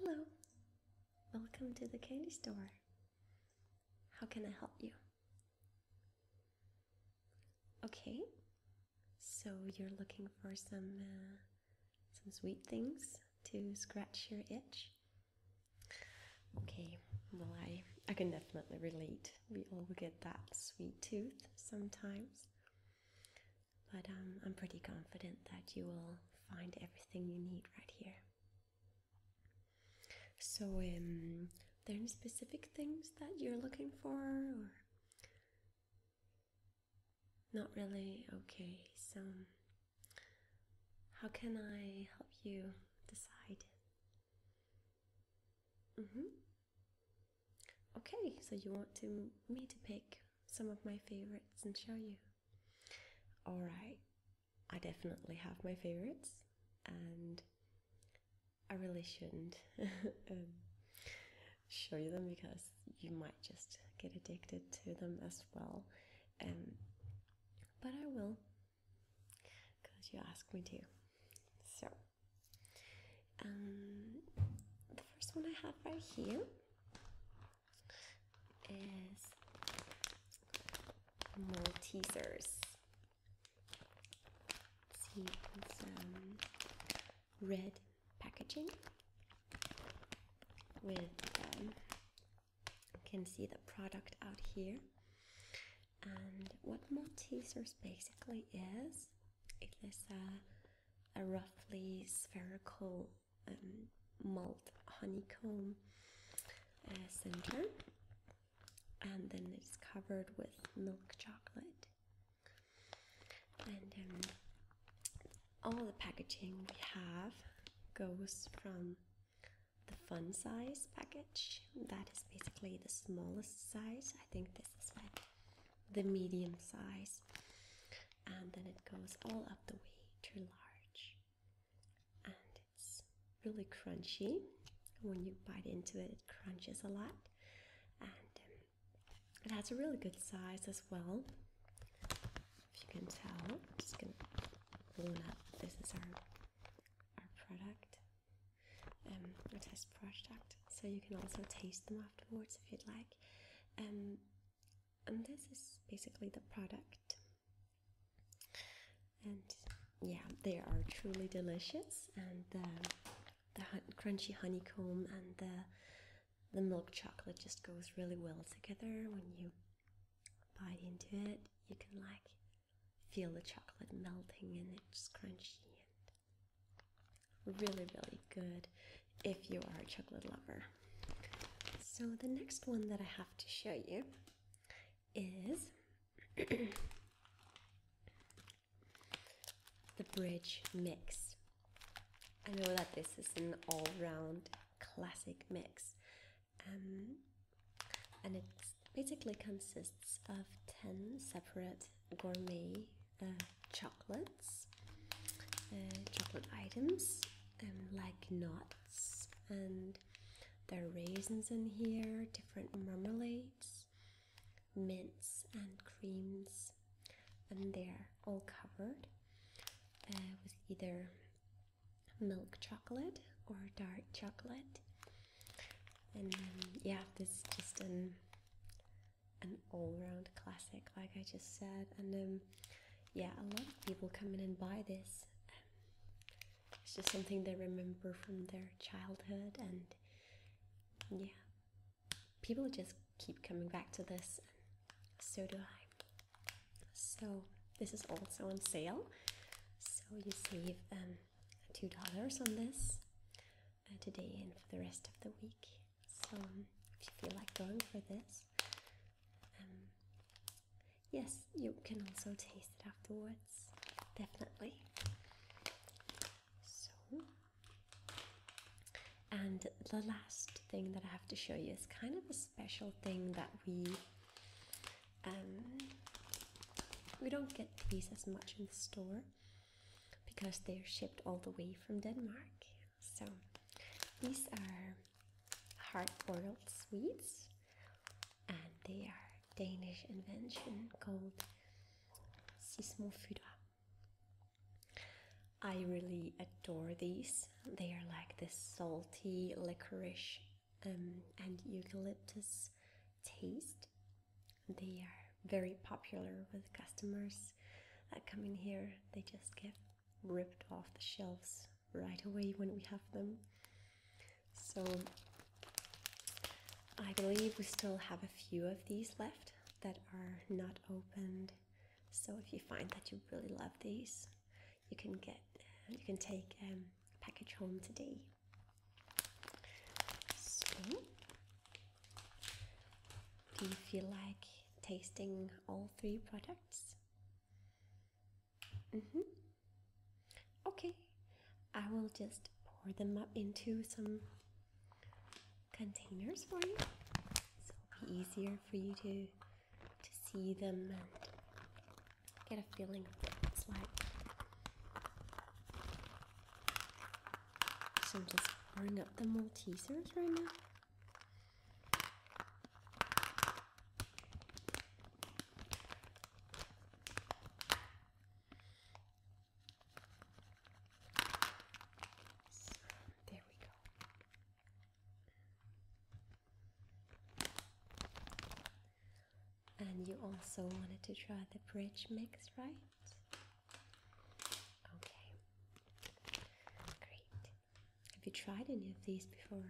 Hello, welcome to the candy store. How can I help you? Okay, so you're looking for some uh, some sweet things to scratch your itch. Okay, well I I can definitely relate. We all get that sweet tooth sometimes. But um, I'm pretty confident that you will find everything you need right here. So, um, are there any specific things that you're looking for, not really? Okay, so how can I help you decide? Mm-hmm. Okay, so you want me to pick some of my favorites and show you. Alright, I definitely have my favorites and I really shouldn't. show you them because you might just get addicted to them as well. Um, but I will because you asked me to. So, um, the first one I have right here is more teasers. see, it's um, red packaging with um, you can see the product out here and what Maltesers basically is it is a, a roughly spherical um, malt honeycomb uh, center and then it's covered with milk chocolate and um, all the packaging we have goes from the fun size package that is basically the smallest size i think this is like the medium size and then it goes all up the way to large and it's really crunchy when you bite into it it crunches a lot um, it has a really good size as well. If you can tell, I'm just gonna blown up. This is our our product, um, our test product. So you can also taste them afterwards if you'd like. Um, and this is basically the product. And yeah, they are truly delicious. And the crunchy honeycomb and the the milk chocolate just goes really well together when you bite into it you can like feel the chocolate melting and it's crunchy and really really good if you are a chocolate lover so the next one that i have to show you is the bridge mix. I know that this is an all round classic mix, um, and it basically consists of 10 separate gourmet uh, chocolates, uh, chocolate items, um, like nuts, and there are raisins in here, different marmalades mints and creams, and they're all covered uh, with either milk chocolate or dark chocolate. And um, yeah, this is just an an all-round classic, like I just said. And um, yeah, a lot of people come in and buy this. it's just something they remember from their childhood, and yeah, people just keep coming back to this, so do I. So, this is also on sale, so you save um, $2 on this uh, today and for the rest of the week. So, if you feel like going for this, um, yes, you can also taste it afterwards, definitely. So, and the last thing that I have to show you is kind of a special thing that we um, we don't get these as much in the store because they're shipped all the way from Denmark. So these are hard-boiled sweets, and they are Danish invention called sismofyra. I really adore these. They are like this salty licorice um, and eucalyptus taste. They are very popular with customers that come in here. They just get ripped off the shelves right away when we have them. So I believe we still have a few of these left that are not opened so if you find that you really love these, you can get you can take um, a package home today. So, do you feel like tasting all three products? Mm hmm. Okay, I will just pour them up into some containers for you, so it'll be easier for you to to see them and get a feeling of what it's like. So I'm just bringing up the Maltesers right now. So, there we go. And you also wanted to try the bridge mix, right? Okay. Great. Have you tried any of these before?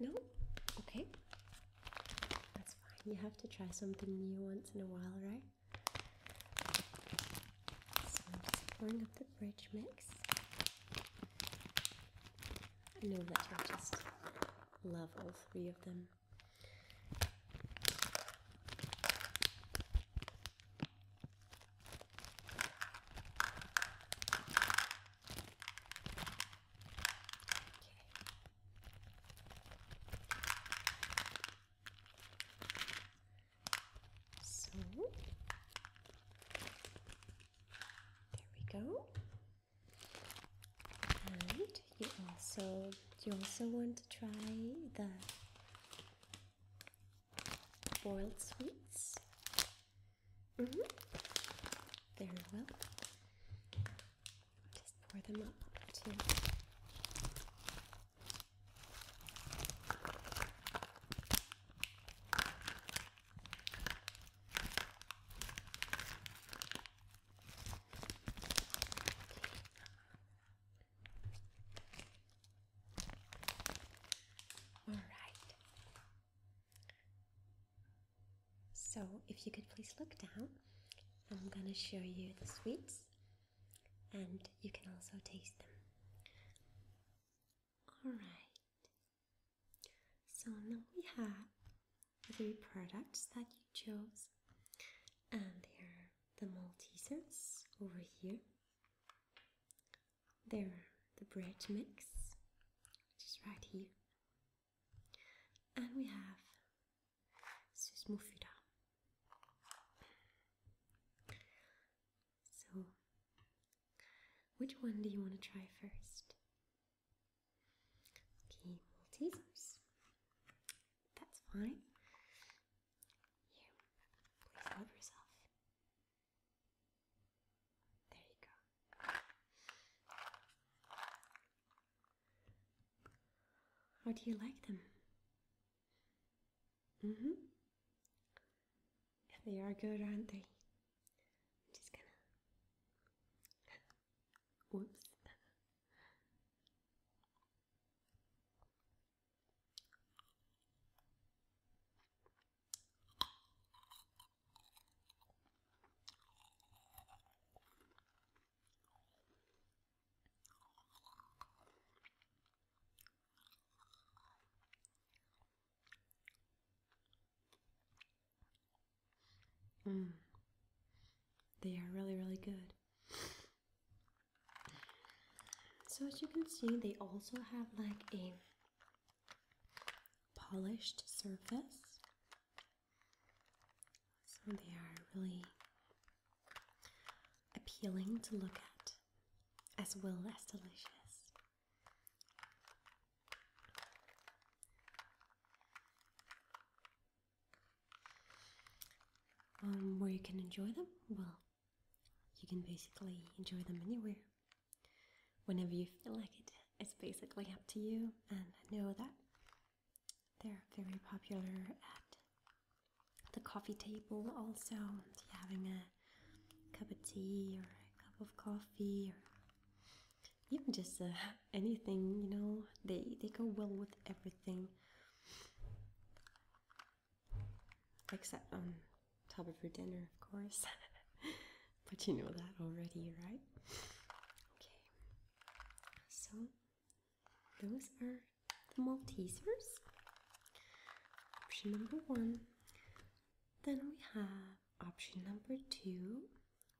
No? Okay. That's fine. You have to try something new once in a while, right? i pouring up the bridge mix. I know that I just love all three of them. Okay. So there we go. And you also you also want to try the boiled sweets. Mm-hmm. Very well. Just pour them up too. All right. So, if you could please look down, I'm gonna show you the sweets and you can also taste them. Alright, so now we have the three products that you chose, and they are the Maltesers over here, there the bread mix, which is right here, and we have Susmofida. So, which one do you want to try first? Okay, Maltesers. That's fine. Here, please help yourself. There you go. How do you like them? Mm-hmm. They are good, aren't they? I'm just gonna. Whoops. Mm. They are really, really good. So as you can see, they also have like a polished surface. So they are really appealing to look at as well as delicious. Um, where you can enjoy them? Well, you can basically enjoy them anywhere. Whenever you feel like it, it's basically up to you, and I know that they're very popular at the coffee table also having a cup of tea or a cup of coffee or even just uh, anything you know they they go well with everything except on um, top of your dinner of course but you know that already right okay so those are the Maltesers. Option number one. Then we have option number two,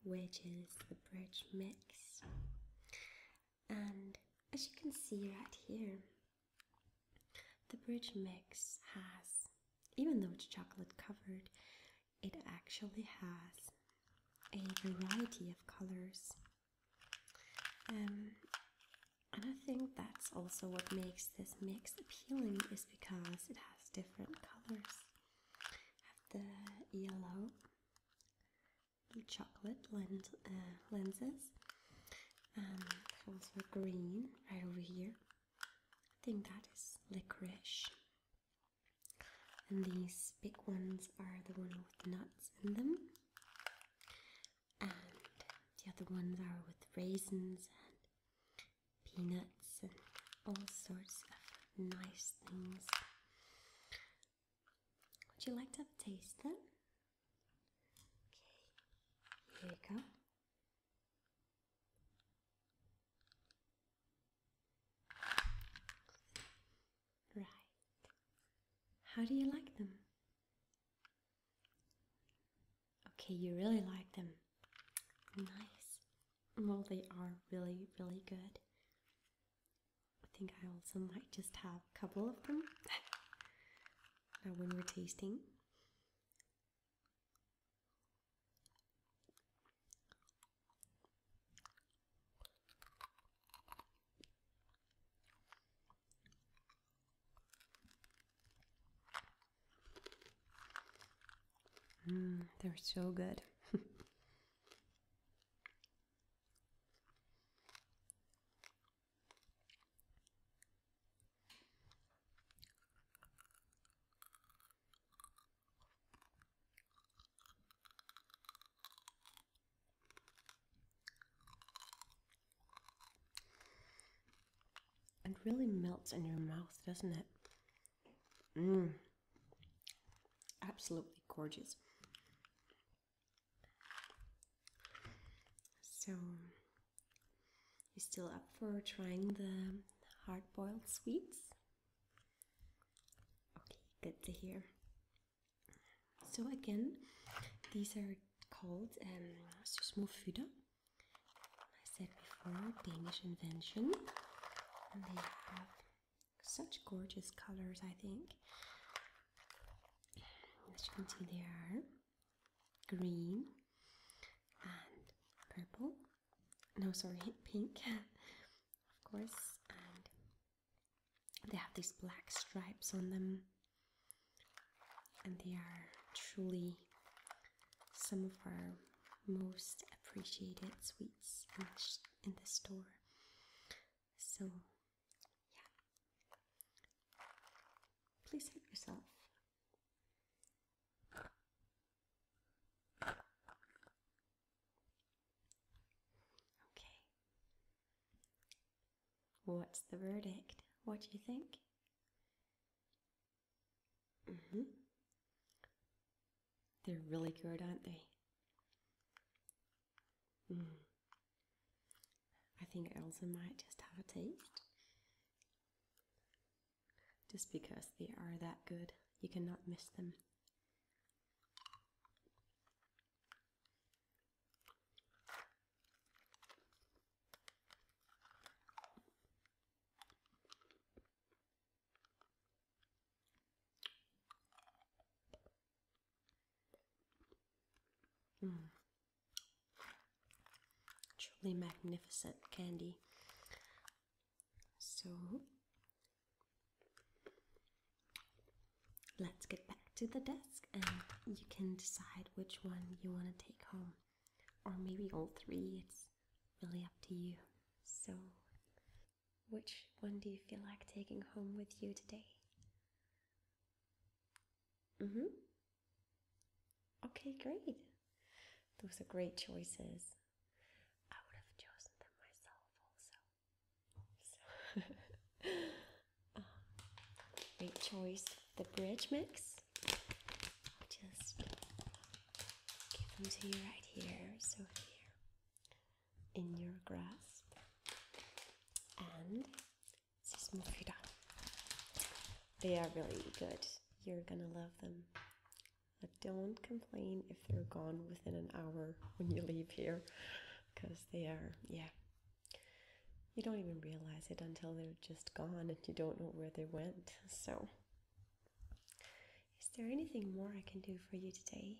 which is the bridge mix. And as you can see right here, the bridge mix has, even though it's chocolate covered, it actually has a variety of colors. Um, and I think that's also what makes this mix appealing is because it has different colors. I have the yellow, chocolate lens, uh, lenses, and um, also green right over here. I think that is licorice. And these big ones are the one with nuts in them and the other ones are with raisins and peanuts and all sorts of nice things. Would you like to have a taste then? Okay, here you go. Right. How do you like them? Okay, you really like them. Nice. Well, they are really, really good. I think I also might just have a couple of them now when we're tasting. Mm, they're so good. It really melts in your mouth, doesn't it? Mmm. Absolutely gorgeous. So, you still up for trying the hard boiled sweets? Okay, good to hear. So, again, these are called um, Susmo Fuda. I said before, Danish invention. And they have such gorgeous colors, I think. As you can see, they are green and purple. No, sorry, pink, of course. And they have these black stripes on them and they are truly some of our most appreciated sweets in the, store. So, yeah, please help yourself. Okay, what's the verdict? What do you think? Mm hmm. They're really good, aren't they? Mm. I think Elsa might just have a taste. Just because they are that good, you cannot miss them. Hmm, Truly magnificent candy. So let's get back to the desk and you can decide which one you want to take home or maybe all three. It's really up to you. So, which one do you feel like taking home with you today? Mm-hmm. Okay, great. Those are great choices. I would have chosen them myself also. So, uh, great choice. The bridge mix just give them to you right here, so here in your grasp, and just move it down. They are really good. You're gonna love them. don't complain if they're gone within an hour when you leave here, because they are, yeah. You don't even realize it until they're just gone and you don't know where they went. So is there anything more I can do for you today?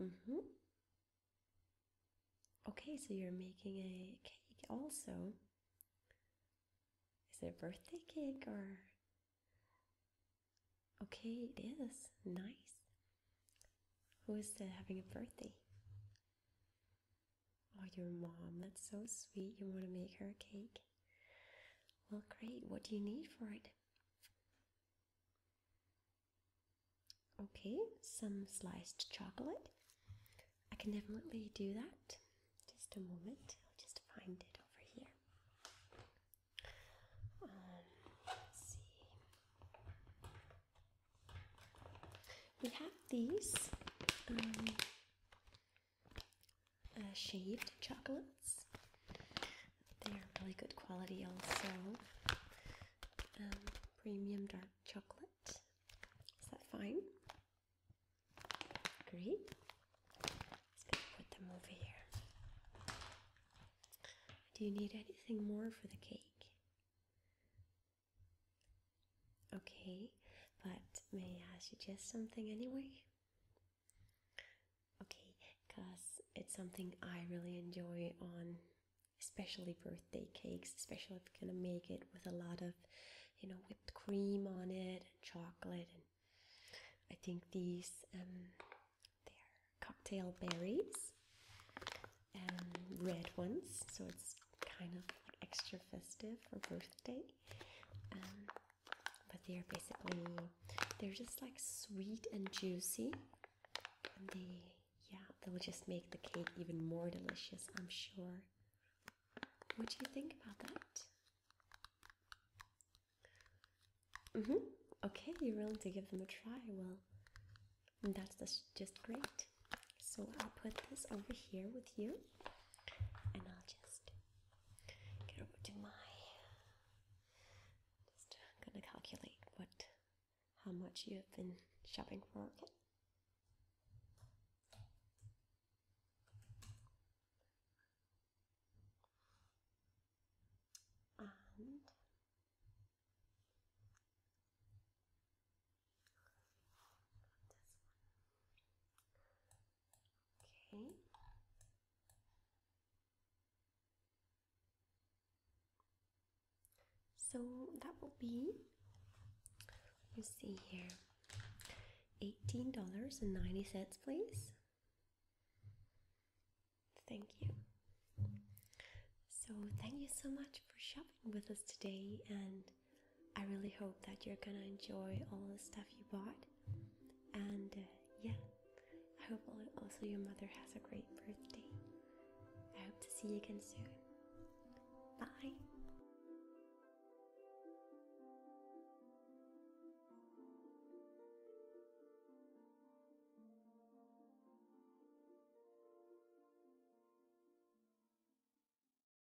Mm-hmm. Okay, so you're making a cake also. Is it a birthday cake or? Okay, it is. Nice. Who is having a birthday? Oh, your mom, that's so sweet. You want to make her a cake? Well, great. What do you need for it? Okay, some sliced chocolate. I can definitely do that. Just a moment, I'll just find it over here. Um, see. We have these. Um, uh, shaved chocolates. They are really good quality, also. Um, premium dark chocolate. Is that fine? Great. Let's going put them over here. Do you need anything more for the cake? Okay, but may I suggest something anyway? Okay, because it's something I really enjoy on especially birthday cakes, especially if you're gonna make it with a lot of, you know, whipped cream on it and chocolate. And I think these, um, they're cocktail berries, um, red ones, so it's kind of extra festive for birthday. Um, but they're basically they're just like sweet and juicy, and they yeah they'll just make the cake even more delicious. I'm sure. What do you think about that? Mm-hmm. Okay, you're willing to give them a try. Well, that's just great. So I'll put this over here with you and I'll just get over to my just gonna calculate what how much you have been shopping for, Okay. So that will be, let's see here, $18.90, please. Thank you. So, thank you so much for shopping with us today and I really hope that you're gonna enjoy all the stuff you bought. And uh, yeah, I hope also your mother has a great birthday. I hope to see you again soon. Bye!